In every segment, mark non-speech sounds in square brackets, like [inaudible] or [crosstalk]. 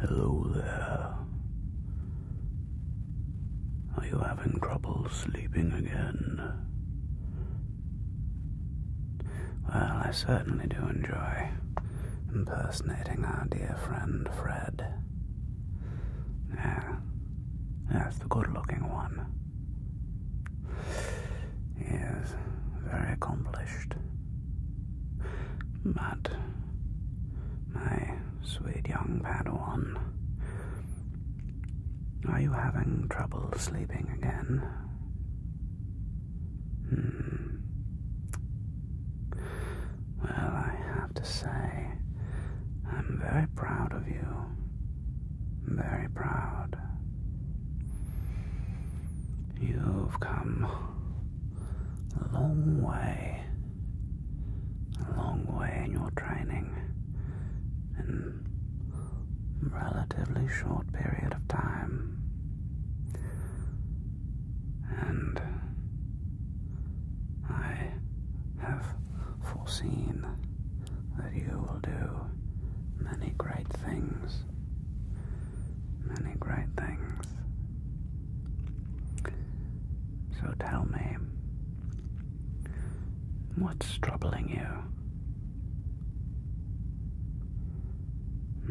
Hello there. Are you having trouble sleeping again? Well, I certainly do enjoy impersonating our dear friend Fred. Yeah, that's the good looking one. He is very accomplished. But my sweet young Padawan, are you having trouble sleeping again? Hmm. Well, I have to say, I'm very proud of you. Very proud. You've come a long way. A long way in your training in a relatively short period of time. And I have foreseen that you will do many great things. Many great things. So tell me, what's troubling you?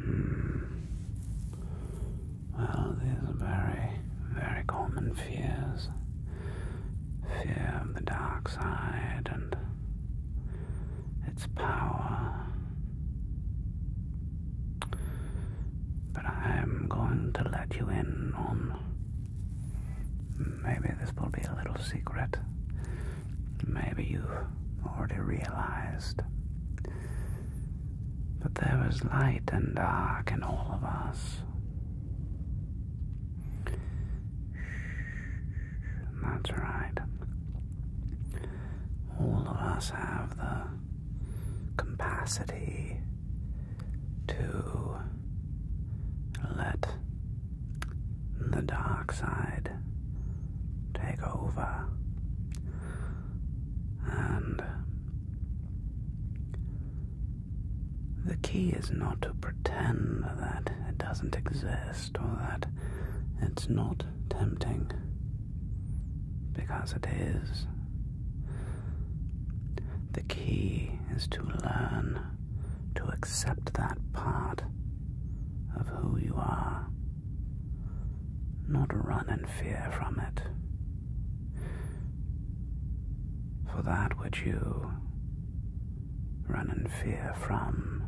Hmm. Well, these are very, very common fears fear of the dark side and its power. But I'm going to let you in on. Maybe this will be a little secret. Maybe you've already realized. But there was light and dark in all of us. That's right. All of us have the capacity to let the dark side take over and the key is not to pretend that it doesn't exist or that it's not tempting, because it is. The key is to learn to accept that part of who you are, not run in fear from it. For that which you run in fear from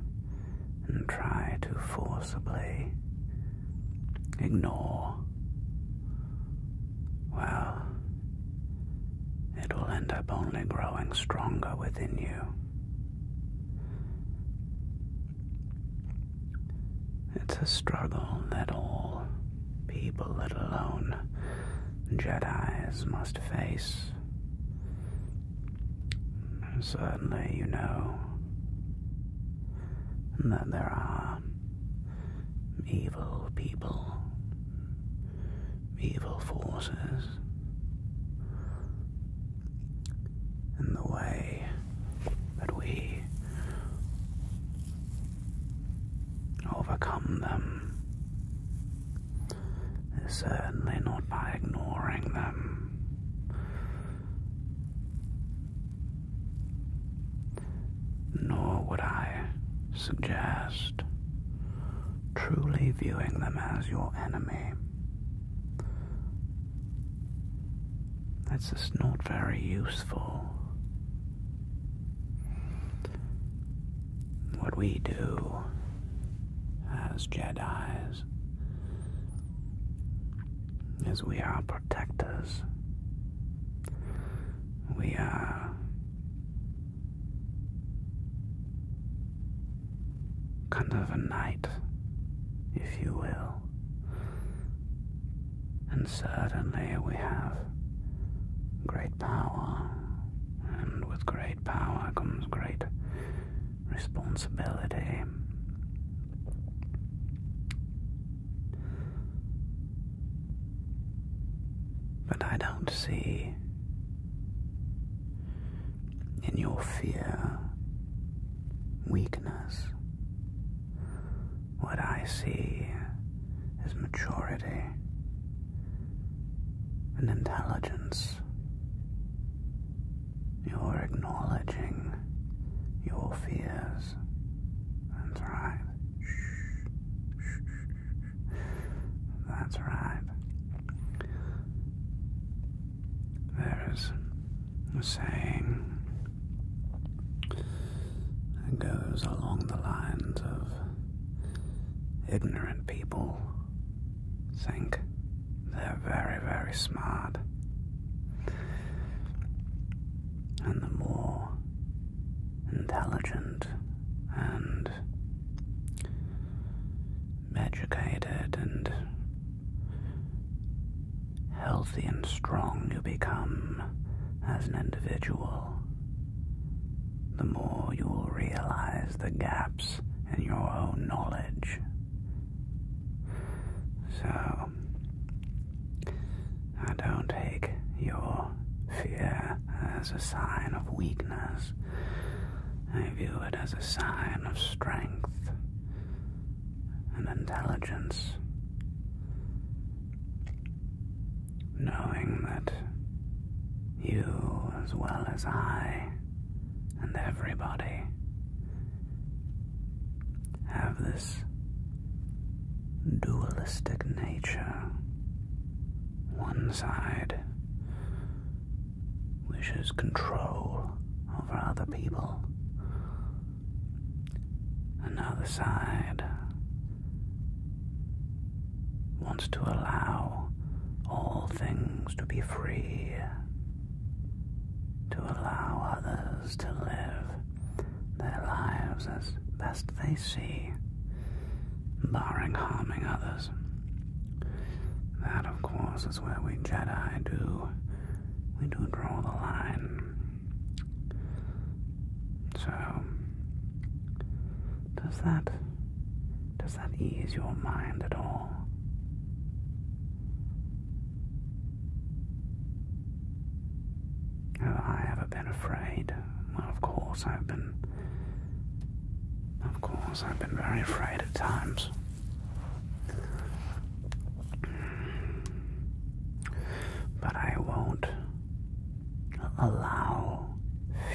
and try to forcibly ignore, well, it will end up only growing stronger within you. It's a struggle that all people, let alone Jedis must face. Certainly, you know that there are evil people, evil forces, and the way that we overcome them is certainly not by ignoring them. Nor would I suggest truly viewing them as your enemy. That's just not very useful what we do as Jedi's is we are protectors. We are kind of a knight, if you will. And certainly we have great power and with great power comes great responsibility. But I don't see in your fear weakness. What I see is maturity and intelligence. You're acknowledging your fears. That's right. That's right. There is a saying that goes along the lines of ignorant people think they're very, very smart. And the more intelligent and educated and healthy and strong you become as an individual, the more you will realize the gaps in your own knowledge. So, I don't take your fear as a sign of weakness. I view it as a sign of strength and intelligence knowing that you, as well as I, and everybody, have this dualistic nature. One side wishes control over other people. Another side wants to allow all things to be free, to allow others to live their lives as best they see, barring harming others. That, of course, is where we Jedi do. We do draw the line. So, does that does that ease your mind at all? Have I ever been afraid? Well, of course I've been. Of course I've been very afraid at times. But I won't allow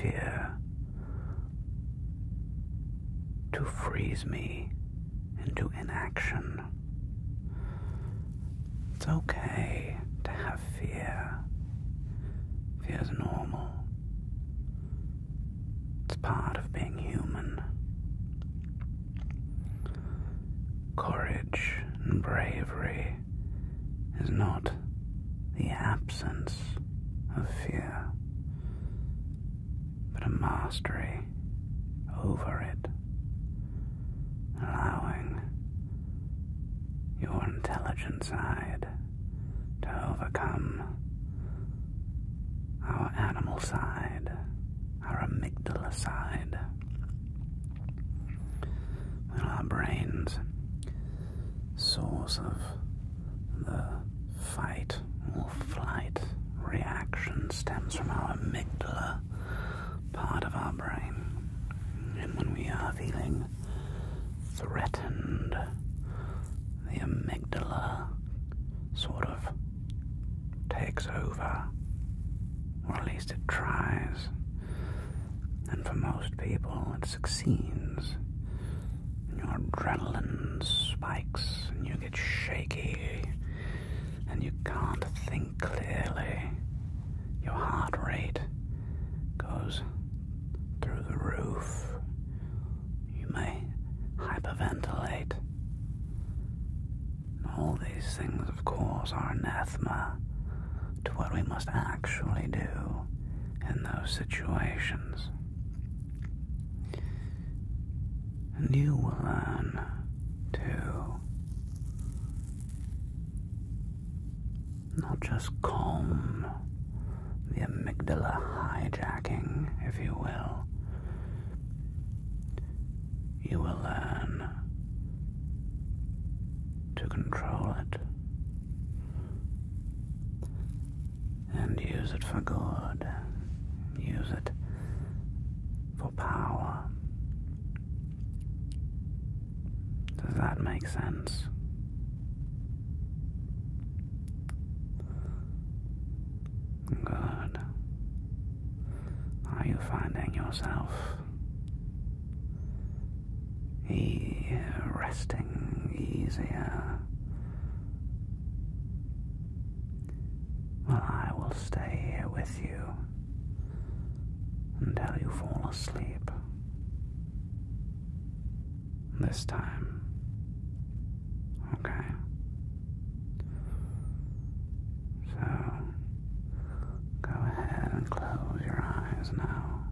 fear to freeze me into inaction. It's okay to have fear. Fear's normal. It's part of being human. Courage and bravery is not the absence of fear, but a mastery over it, allowing your intelligent side to overcome our animal side, our amygdala side. Well, our brains source of the fight or flight reaction stems from our amygdala part of our brain. And when we are feeling threatened, the amygdala sort of takes over, or at least it tries. And for most people, it's succeeds. Your adrenaline spikes and you get shaky and you can't think clearly. Your heart rate goes through the roof. You may hyperventilate. all these things, of course, are anathema to what we must actually do in those situations. And you will learn to not just calm the amygdala hijacking, if you will, you will learn to control it and use it for good. Use it for power. Does that make sense? Good. Are you finding yourself e resting easier. Well, I will stay here with you until you fall asleep. This time. Okay. So, go ahead and close your eyes now.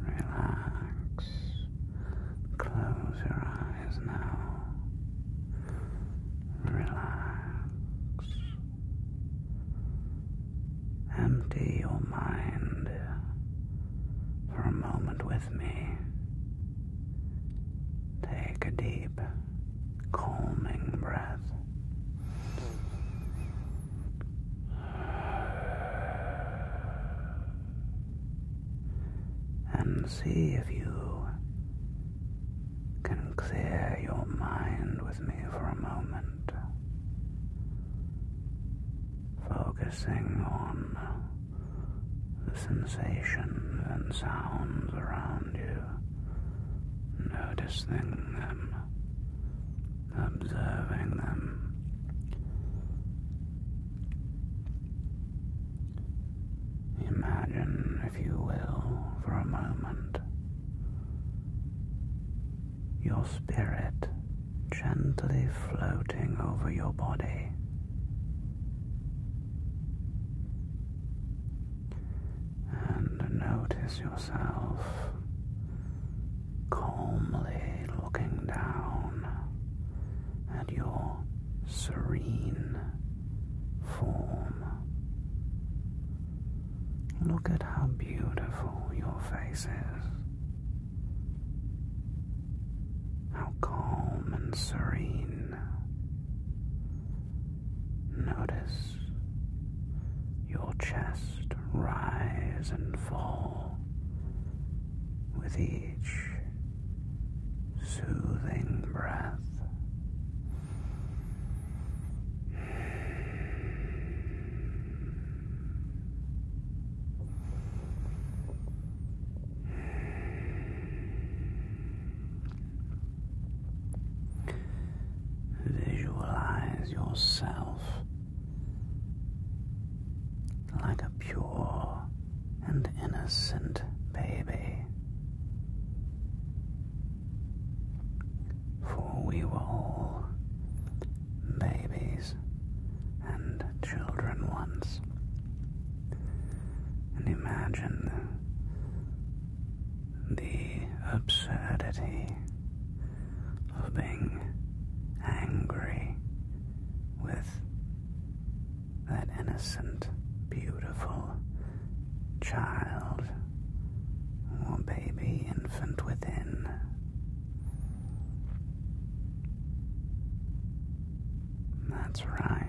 Relax. Close your eyes now. Relax. Empty your mind for a moment with me. Take a deep, calming breath and see if you can clear your mind with me for a moment, focusing on the sensations and sounds around you, noticing them observing them. Imagine, if you will, for a moment, your spirit gently floating over your body. And notice yourself calmly looking down at your serene form. Look at how beautiful your face is. How calm and serene. Notice your chest rise and fall with each soothing breath. Visualize yourself like a pure and innocent baby. For we were all babies and children once. And imagine the absurdity of being angry with that innocent, beautiful child or baby infant within. That's right.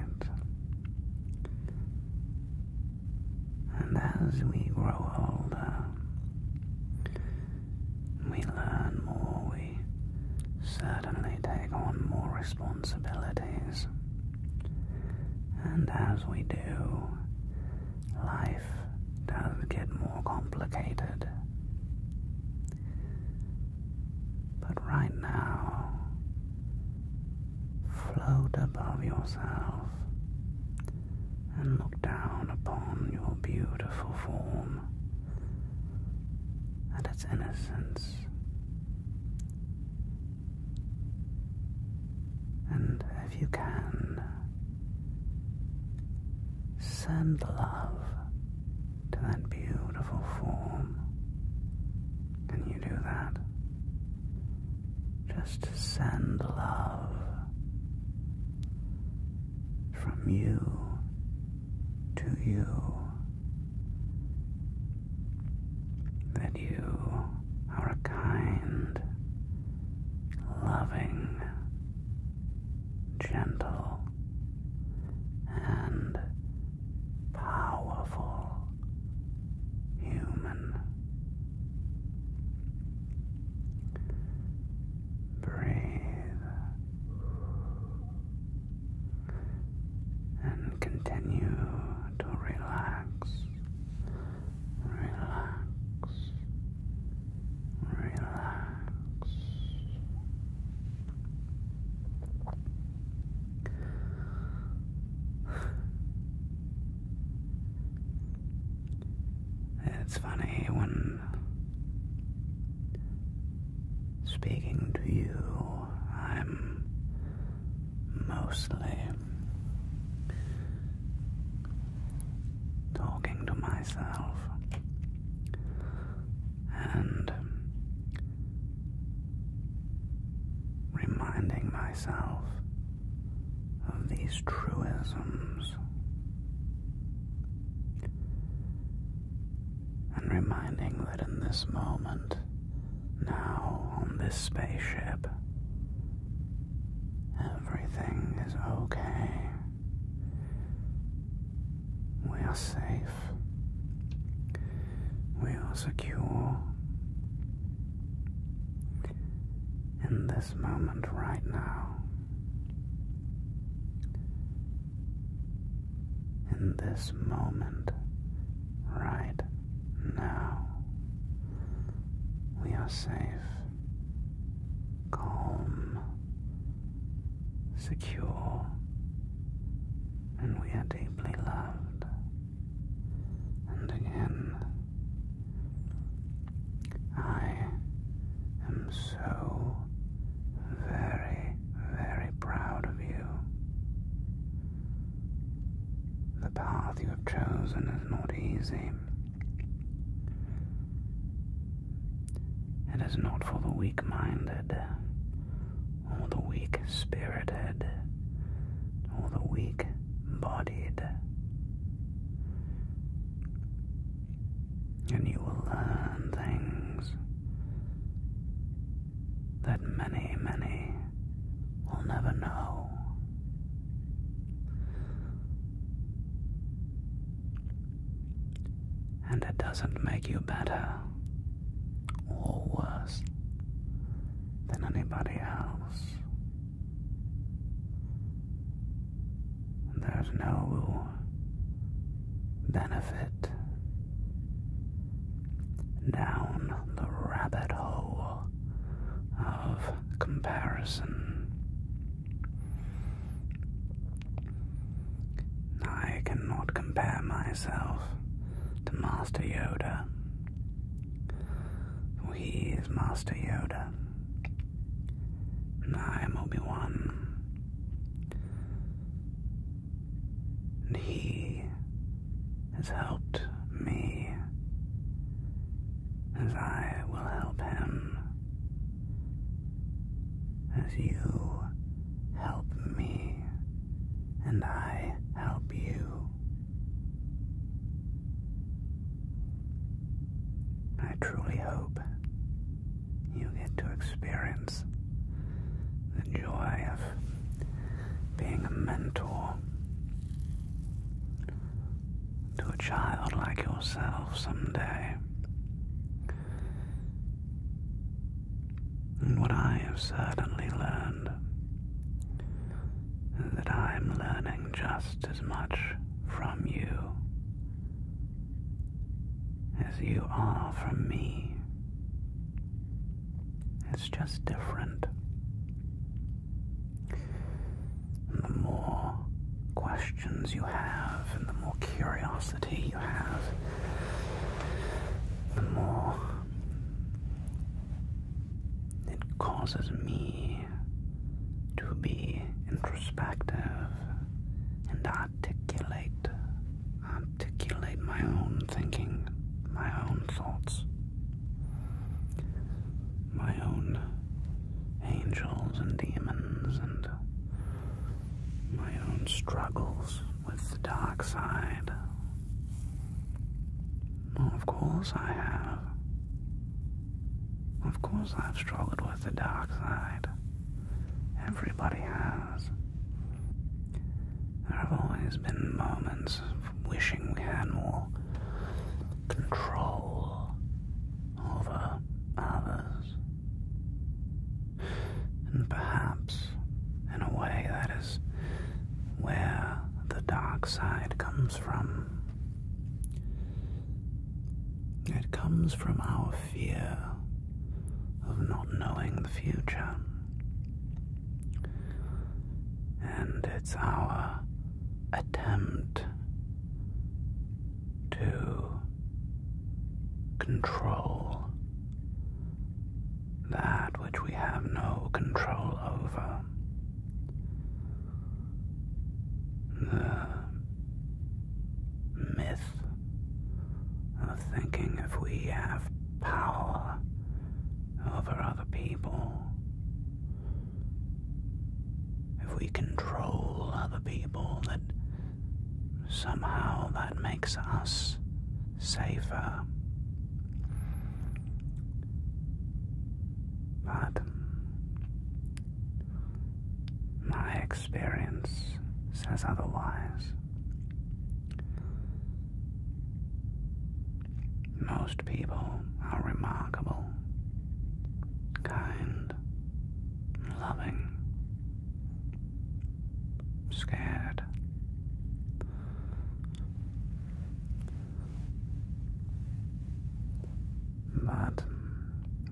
And as we grow older, we learn more, we certainly take on more responsibilities. And as we do, life does get more complicated. But right now, float above yourself and look down upon your beautiful form and its innocence. And if you can, send love to that beautiful form. Can you do that? Just send love from you to you. That you are a kind, loving, gentle, and powerful human. Breathe. And continue to relax, relax, relax. [sighs] It's funny when speaking to you, I'm mostly talking to myself and reminding myself of these truisms and reminding that in this moment, now on this spaceship, everything is okay. We are safe. We are secure. In this moment right now, in this moment, right now, we are safe, calm, secure, and we are deeply loved. And again, I am so very, very proud of you. The path you have chosen is not easy. It is not for the weak minded, or the weak spirited, or the weak bodied and you will learn things that many, many will never know. And it doesn't make you better or worse than anybody else. There's no benefit. Down the rabbit hole of comparison. I cannot compare myself to Master Yoda. For he is Master Yoda. I am Obi-Wan. And he has helped me as I will help him. As you help me and I help you. I truly hope you get to experience the joy of being a mentor to a child like yourself someday. And what I have certainly learned is that I am learning just as much from you as you are from me. It's just different. the more questions you have, and the more curiosity you have, the more it causes me to be introspective and articulate, articulate my own thinking, my own thoughts, my own angels and demons, and my own struggles with the dark side. of course I have. Of course I've struggled with the dark side. Everybody has. There have always been moments of wishing we had more control over others. And perhaps, in a way, that is where the dark side comes from. It comes from our fear of not knowing the future. And it's our attempt to control that which we have no control over. The myth of thinking if we have power over other people, if we control other people, that somehow that makes us safer. But my experience says otherwise. Most people are remarkable, kind, loving, scared. But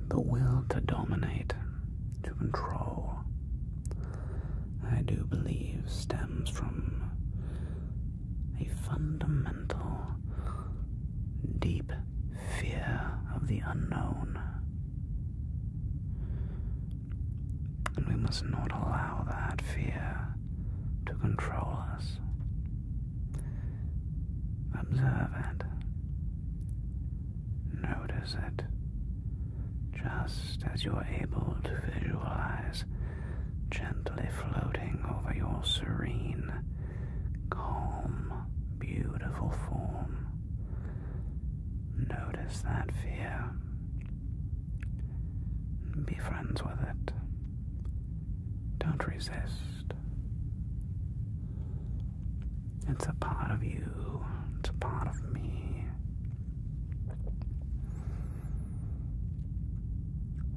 the will to dominate, to control, I do believe stems from a fundamental, deep fear of the unknown. And we must not allow that fear to control us. Observe it. Notice it. Just as you're able to visualize gently floating over your serene, calm, beautiful form, notice that fear. Be friends with it. Don't resist. It's a part of you, it's a part of me.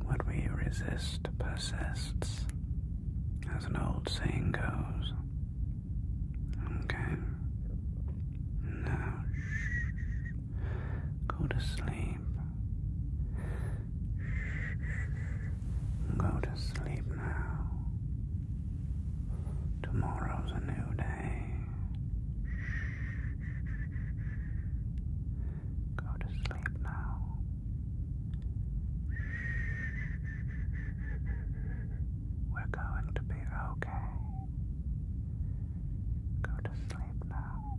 What we resist persists, as an old saying goes. Okay. Now, shh, go to sleep. Shh, go to sleep now. Tomorrow's a new day. Go to sleep now. We're going to be okay. Go to sleep now.